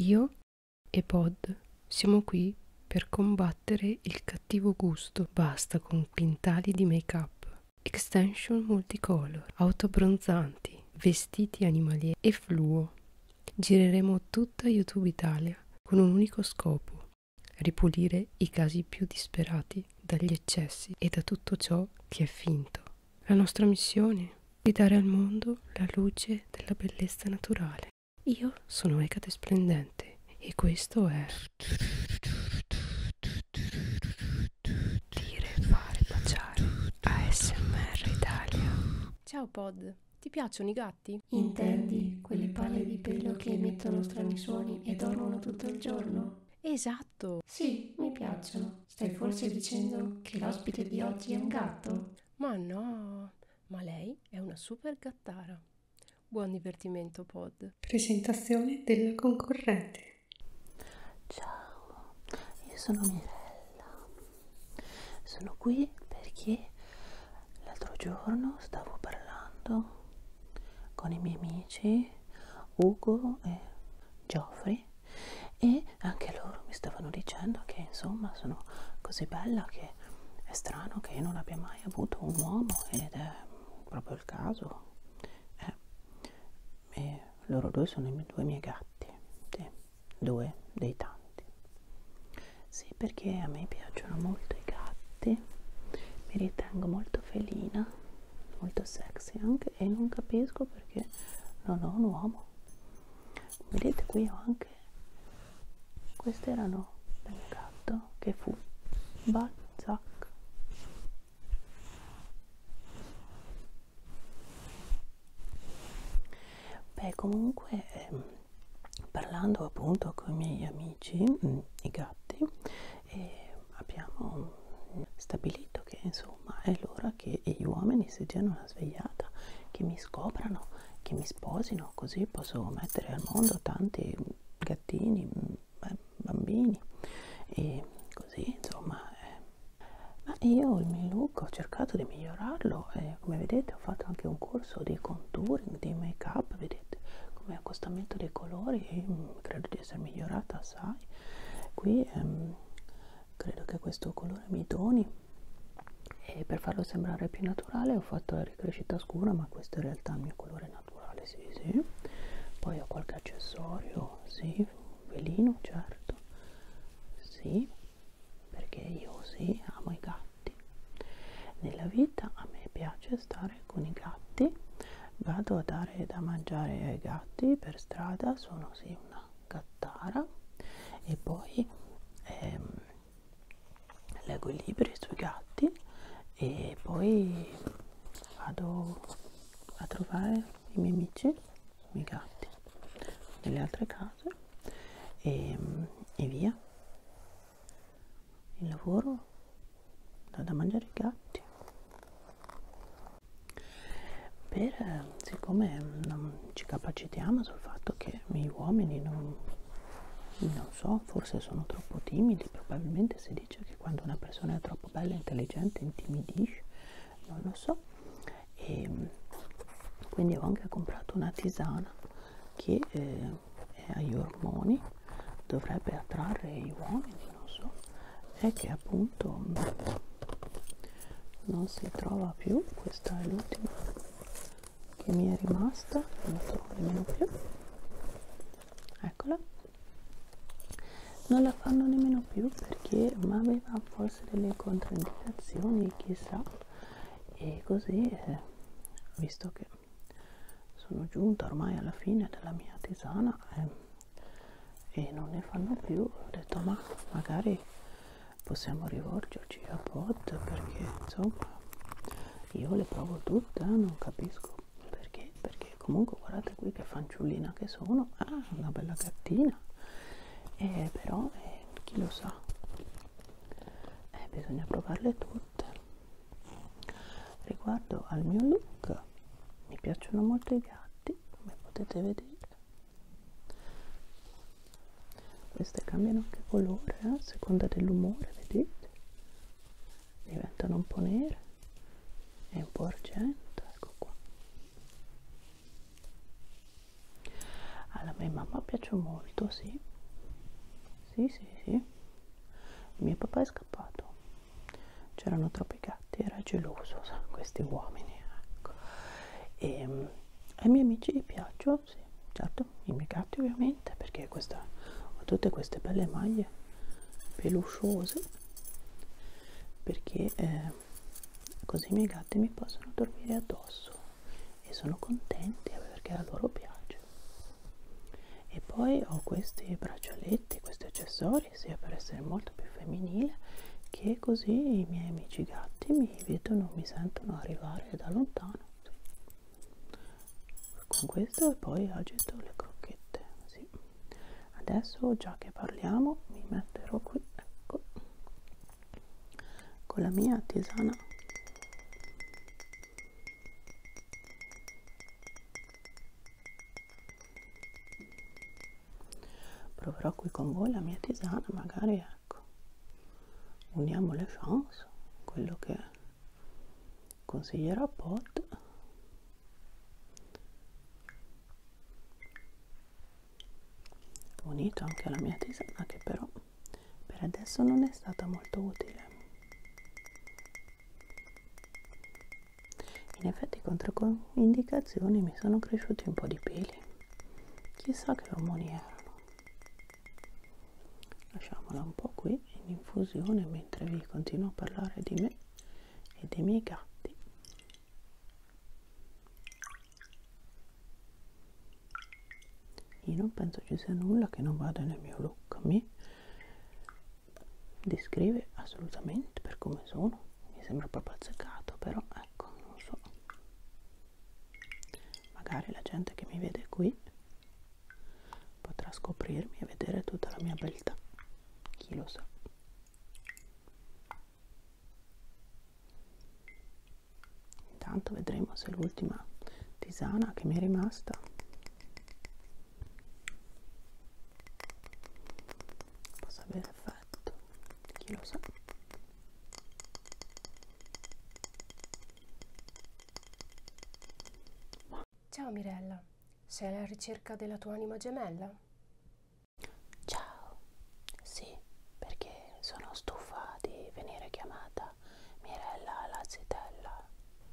Io e Pod siamo qui per combattere il cattivo gusto. Basta con quintali di make-up, extension multicolor, auto bronzanti, vestiti animalieri e fluo. Gireremo tutta YouTube Italia con un unico scopo, ripulire i casi più disperati dagli eccessi e da tutto ciò che è finto. La nostra missione di dare al mondo la luce della bellezza naturale. Io sono Ecate Splendente e questo è... Dire, fare, baciare. ASMR Italia. Ciao Pod, ti piacciono i gatti? Intendi quelle palle di pelo che emettono strani suoni e dormono tutto il giorno? Esatto. Sì, mi piacciono. Stai forse dicendo che l'ospite di oggi è un gatto? Ma no, ma lei è una super gattara. Buon divertimento pod. Presentazione della concorrente. Ciao, io sono Mirella. Sono qui perché l'altro giorno stavo parlando con i miei amici Ugo e Geoffrey me e anche loro mi stavano dicendo che insomma sono così bella che è strano che io non abbia mai avuto un uomo ed è proprio il caso eh. e loro due sono i miei, due miei gatti sì. due dei tanti sì perché a me piacciono molto i gatti mi ritengo molto felina molto sexy anche e non capisco perché non ho un uomo vedete qui ho anche queste erano del mio gatto che fu Balzac beh comunque ehm, parlando appunto con i miei amici mh, mm, i gatti eh, abbiamo stabilito che insomma è l'ora paura che gli uomini si diano una svegliata, che mi scoprano, che mi sposino, così posso mettere al mondo tanti gattini, bambini e così insomma. Eh. Ma io il mio look ho cercato di migliorarlo e come vedete ho fatto anche un corso di contouring, di make up, vedete come accostamento dei colori e mm, credo di essere migliorata assai. Qui ehm, credo che questo colore mi doni e per farlo sembrare più naturale ho fatto la ricrescita scura ma questo in realtà è il mio colore naturale sì sì poi ho qualche accessorio sì velino certo sì perché io sì amo i gatti nella vita a me piace stare con i gatti vado a dare da mangiare ai gatti per strada sono sì una gattata Tara e poi ehm, leggo i libri sui gatti e poi vado a trovare i miei amici, i miei gatti, nelle altre case e, e via. Il lavoro, da mangiare i gatti per, eh, siccome non ci capacitiamo sul fatto che gli uomini non, non so, forse sono troppo timidi, probabilmente si dice che quando una persona è troppo bella e intelligente intimidisce, non lo so, e ehm, quindi ho anche comprato una tisana che eh, è agli ormoni, dovrebbe attrarre gli uomini, non so, è che appunto non si trova più questa è l'ultima che mi è rimasta non la trovo nemmeno più eccola non la fanno nemmeno più perché ma aveva forse delle controindicazioni chissà e così eh, visto che sono giunta ormai alla fine della mia tisana eh, e non ne fanno più ho detto ma magari possiamo rivolgerci a bot perché insomma io le provo tutte eh, non capisco perché perché comunque guardate qui che fanciullina che sono ah una bella gattina eh, però eh, chi lo sa eh, bisogna provarle tutte riguardo al mio look mi piacciono molto i gatti come potete vedere queste cambiano anche colore eh? a seconda dell'umore vedete diventano un po' nere e un po' argento ecco qua alla mia mamma piace molto sì sì sì sì mio papà è scappato c'erano troppo troppi gatti, era geloso, sa, questi uomini, ecco. E, um, ai miei amici piacciono, sì, certo, i miei gatti ovviamente, perché questa, ho tutte queste belle maglie pelusciose, perché eh, così i miei gatti mi possono dormire addosso e sono contenti perché a loro piace. E poi ho questi braccialetti, questi accessori fuori sia per essere molto più femminile che così i miei amici gatti mi vedono, mi sentono arrivare da lontano con questo e poi agito le crocchette sì. adesso già che parliamo mi metterò qui ecco con la mia tisana proverò qui con voi la mia tisana magari ecco uniamo le chance quello che consiglierà pot unito anche alla mia tisana che però per adesso non è stata molto utile in effetti controindicazioni mi sono cresciuti un po' di peli chissà che ormoni erano lasciamola un po' qui in infusione mentre vi continuo a parlare di me e dei miei gatti io non penso ci sia nulla che non vada nel mio look mi descrive assolutamente per come sono mi sembra proprio azzeccato però ecco non so magari la gente che mi vede qui potrà scoprirmi e vedere tutta la mia beltà chi lo sa intanto vedremo se l'ultima tisana che mi è rimasta possa avere effetto chi lo sa ciao Mirella sei alla ricerca della tua anima gemella ciao sì perché sono stufa di venire chiamata Mirella la zitella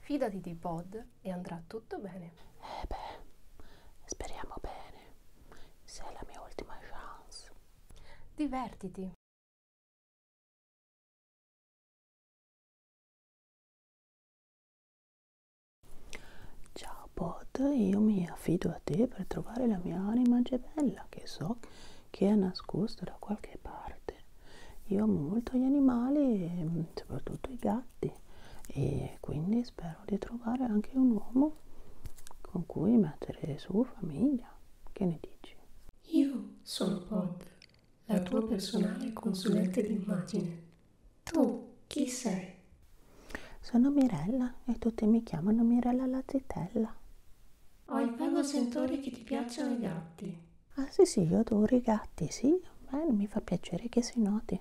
fidati di Bod e andrà tutto bene eh beh, speriamo bene. Sei la mia ultima chance. Divertiti. Ciao Pod, io mi affido a te per trovare la mia anima gemella che so che è nascosta da qualche parte. Io amo molto gli animali e mm, soprattutto i gatti e quindi spero di trovare anche un uomo con cui mettere su famiglia. Che ne dici? Io sono Pod, la tua personale consulente d'immagine. Tu chi sei? Sono Mirella e tutti mi chiamano Mirella la zitella. Ho il vago sentore che ti piacciono i gatti. Ah sì sì, io adoro i gatti, sì. Beh, mi fa piacere che si noti.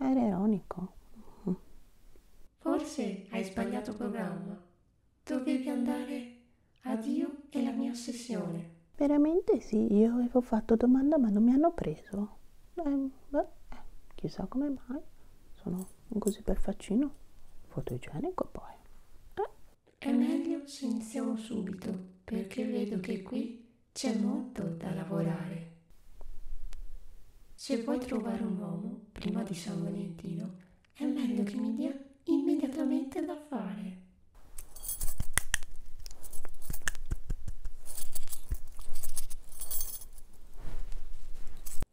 Era ironico. Mm. Forse hai sbagliato programma. Dovevi andare a Dio e la mia ossessione. Veramente sì, io avevo fatto domanda ma non mi hanno preso. Eh, beh, eh, chissà come mai. Sono così per faccino. Fotogenico poi. Eh. È meglio se iniziamo subito, perché vedo che qui c'è molto da lavorare. Se vuoi trovare un uomo prima di San Valentino, è meglio che mi dia immediatamente da fare.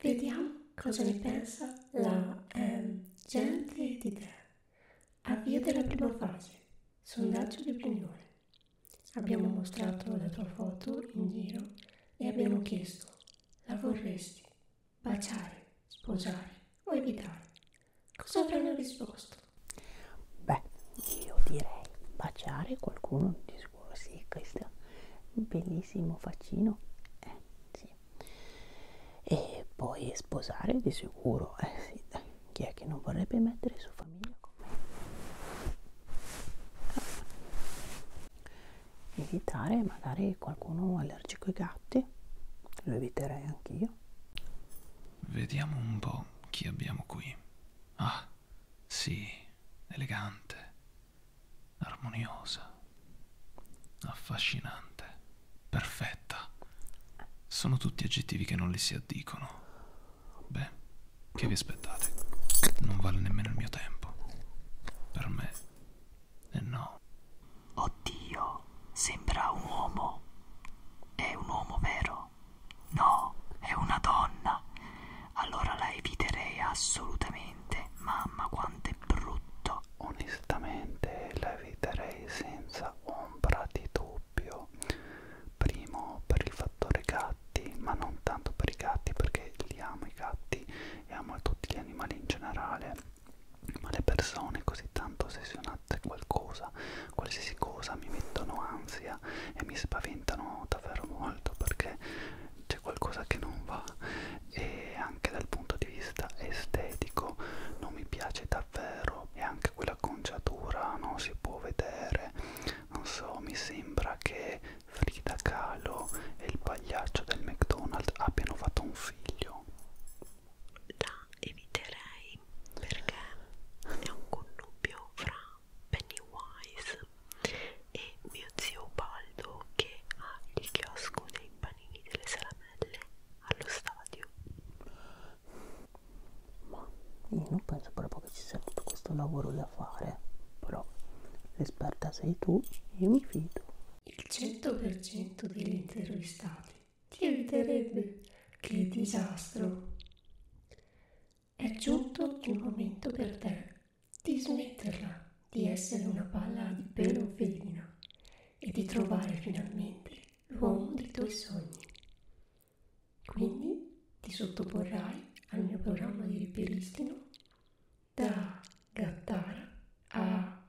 Vediamo cosa ne pensa la eh, gente di te. Avvio della prima fase. Sondaggio di opinione. Abbiamo mostrato la tua foto in giro e abbiamo chiesto, la vorresti baciare, sposare o evitare? Cosa avranno risposto? Beh, io direi baciare qualcuno di sicuro, sì, questo bellissimo faccino, eh, sì. E poi sposare di sicuro, eh, sì, dai. Chi è che non vorrebbe mettere su famiglia con me? Ah. Evitare magari qualcuno allergico ai gatti, lo eviterei anch'io. Vediamo un po' chi abbiamo qui. Ah, sì, elegante, armoniosa, affascinante, perfetta. Sono tutti aggettivi che non le si addicono. Beh, che vi aspettate? Non vale nemmeno il mio tempo. Per me, eh no. Oddio, sembra un uomo. È un uomo vero? No, è una donna. Allora la eviterei assolutamente. Mamma, quanto è brutto. Onestamente la eviterei senza ombra di dubbio doppio primo per il fattore gatti ma non tanto per i gatti perché li amo i gatti e amo tutti gli animali in generale ma le persone così tanto ossessionate a qualcosa qualsiasi cosa mi mettono ansia e mi spaventano davvero molto perché c'è qualcosa che non va e anche dal punto di vista estetico non mi piace tanto davvero e anche quell'acconciatura non si può vedere non so mi sembra che Frida Kahlo e il pagliaccio del McDonald's abbiano fatto un figlio la eviterei perché è un connubio fra Pennywise e mio zio Baldo che ha il chiosco dei panini delle salamelle allo stadio ma io non penso proprio che ci sia tutto questo lavoro da fare però l'esperta sei tu io mi fido il 100% degli intervistati ti eviterebbe che disastro è giunto il momento per te di smetterla di essere una palla di pelo felina e di trovare finalmente l'uomo dei tuoi sogni. Quindi ti sottoporrai al mio programma di ripristino da gattara a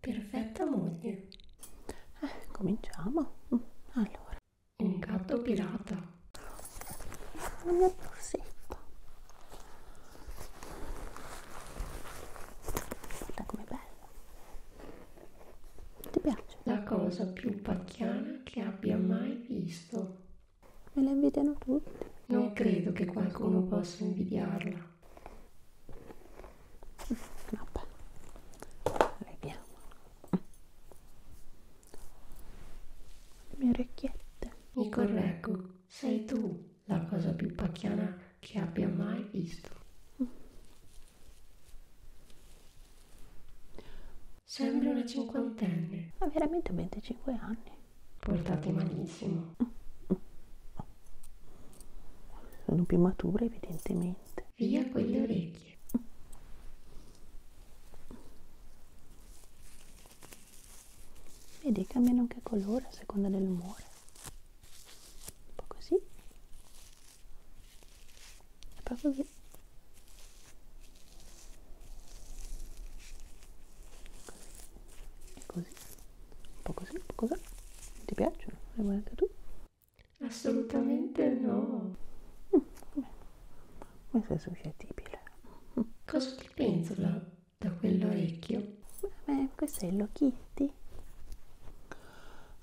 perfetta moglie. Eh, cominciamo. Mm, allora, un gatto pirata. Una borsetta. Guarda com'è bella. Ti piace? La cosa più pacchiana che abbia mai visto. Me la invidiano tutti. Non credo che qualcuno possa invidiarla. Vabbè. Vediamo. Le mie orecchiette. Mi correggo. Sei tu la cosa più pacchiana che abbia mai visto. Mm. Sembra una cinquantenne. Ha veramente 25 anni. Portati malissimo. Sono più matura evidentemente. Via con le orecchie. Vedi, cambiano anche colore a seconda dell'umore. Un po' così è proprio così così un po' così un po' così ti piacciono? le vuoi anche tu? assolutamente no mm, vabbè. ma sei suscettibile mm. cosa ti pensola da quell'orecchio? beh questo è il Kitty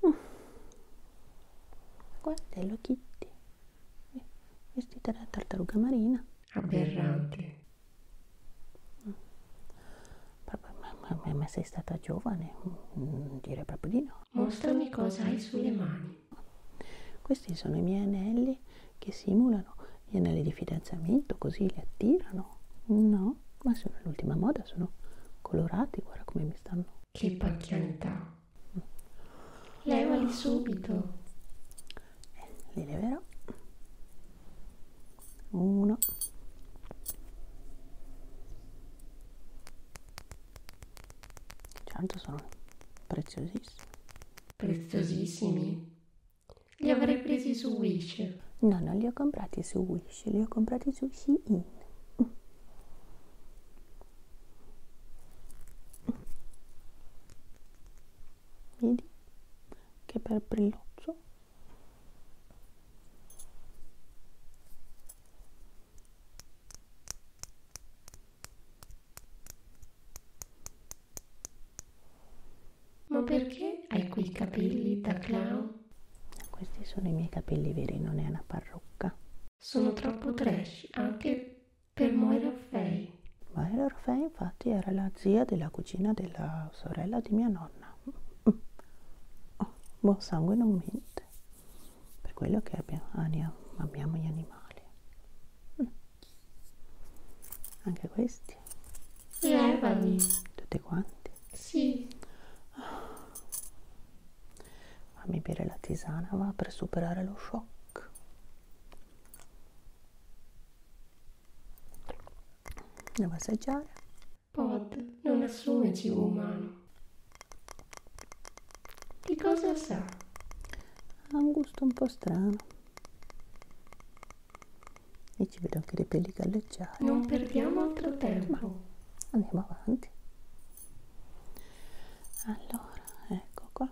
mm. Guarda, lo Kitty, vestita da tartaruga marina. Aberrante. Ma, ma, ma, sei stata giovane? Mm, direi proprio di no. Mostrami cosa hai sulle mani. Questi sono i miei anelli che simulano gli anelli di fidanzamento, così li attirano. No, ma sono l'ultima moda, sono colorati, guarda come mi mi stanno... Che pacchianità! Mm. Levali subito! Eh, li leverò. Uno. Certo sono preziosissimi. Preziosissimi? Li avrei presi su Wish. No, non li ho comprati su Wish, li ho comprati su Shein. Vedi che per brillozzo Ma perché hai quei capelli da clown? Questi sono i miei capelli veri, non è una parrucca. Sono troppo trash anche per Moira Orfei. Moira Orfei infatti era la zia della cugina della sorella di mia nonna. Oh, buon sangue non mente. Per quello che abbiamo, Ania, abbiamo gli animali. Mm. Anche questi. Levali. Tutti quanti? Sì. Ah. Fammi bere la tisana, va per superare lo shock. Devo assaggiare. Pod non assume cibo umano. Di cosa sa? Ha un gusto un po' strano. E ci vedo anche dei peli galleggiare. Non perdiamo altro tempo. Ma andiamo avanti allora ecco qua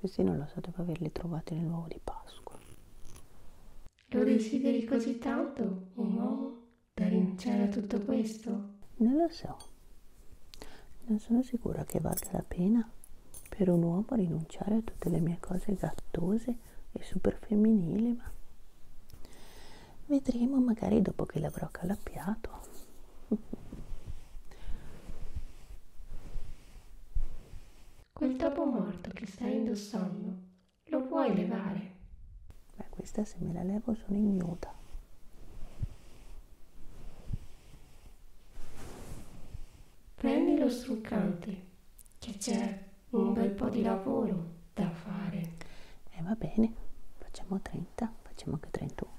questi non lo so devo averli trovati nel nuovo di Pasqua lo desideri così tanto, un uomo, da rinunciare a tutto questo? Non lo so. Non sono sicura che valga la pena per un uomo rinunciare a tutte le mie cose gattose e super femminili, ma vedremo magari dopo che l'avrò calappiato. Quel topo morto che stai indossando lo puoi levare? Beh, questa se me la levo sono ignuta. Prendi lo struccante, che c'è un bel po' di lavoro da fare. E eh, va bene, facciamo 30, facciamo anche 31.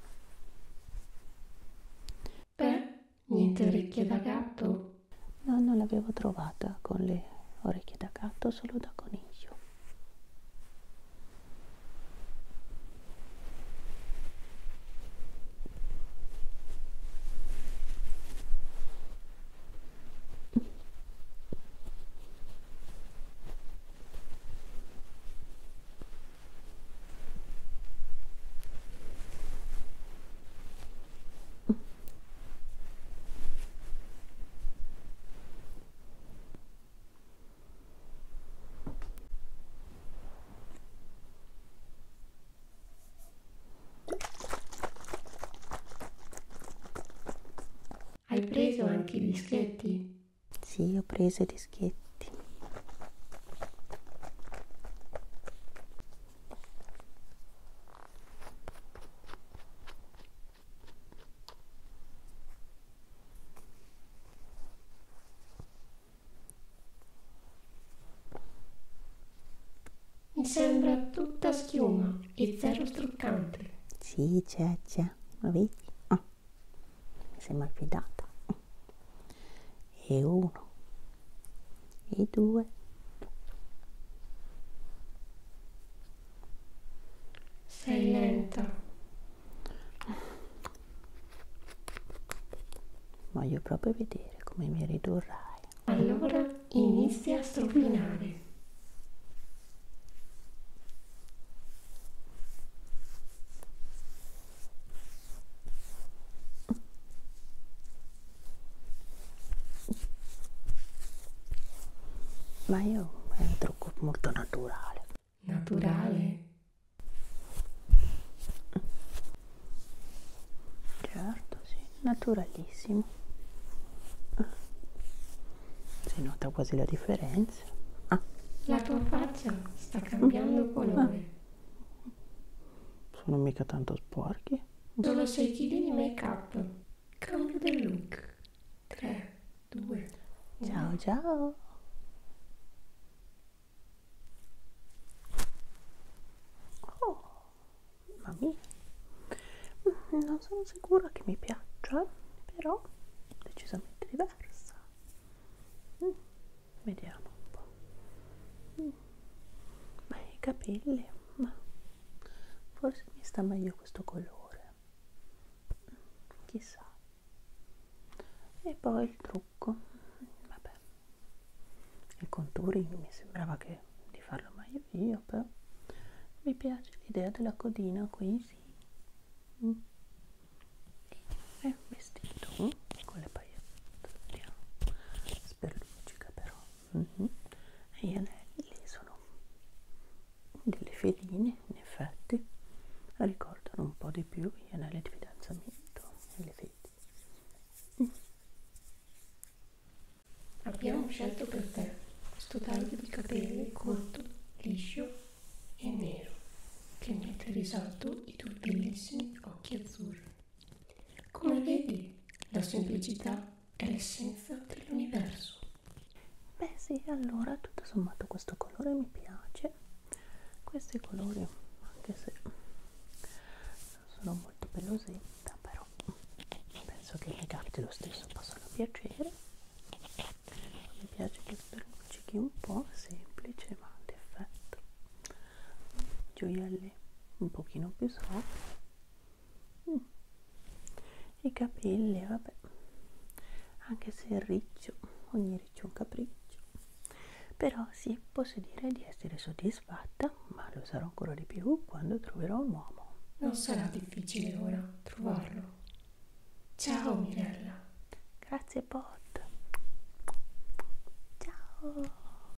Beh, niente orecchie da gatto No, non l'avevo trovata con le orecchie da gatto, solo da coniglio. Hai preso anche i dischetti? Sì, ho preso i dischetti. Mi sembra tutta schiuma e zero struccante. Sì, c'è, c'è, lo vedi? Oh. Mi sembra più data. E uno e 2 sei lenta voglio proprio vedere come mi ridurrai allora inizia a strofinare ma io è un trucco molto naturale. Naturale? Certo, sì, naturalissimo. Si nota quasi la differenza. Ah. La tua faccia sta cambiando ah. colore. Ah. Sono mica tanto sporchi. Dono 6 kg di make up. Cambio del look. 3, 2, 1. Ciao ciao. Oh, mamma mia. Mm, non sono sicura che mi piaccia, però decisamente diversa. Mm, vediamo un po'. Mm. Ma i capelli ma forse mi sta meglio questo colore mm, chissà e poi il trucco vabbè il contouring mi sembrava che di farlo meglio io però mi piace l'idea della codina qui sì mm. e il vestito mm. con le pagliette spero però mm -hmm. e gli anelli sono delle feline in effetti ricordano un po' di più gli anelli di fidanzamento e le fedi mm. abbiamo scelto per te questo taglio di capelli corto, liscio e nero che mette risalto i tuoi bellissimi occhi azzurri come vedi, la semplicità è l'essenza dell'universo. Beh sì, allora tutto sommato questo colore mi piace. Questi colori, anche se non sono molto pelosetta, però penso che i gatti lo stesso possano piacere. Mi piace che luccichi un po' semplice ma ad effetto. Gioielli un pochino più sopra mm. i capelli vabbè anche se il riccio ogni riccio è un capriccio però sì posso dire di essere soddisfatta ma lo sarò ancora di più quando troverò un uomo non sarà difficile ora trovarlo ciao Mirella grazie Pot ciao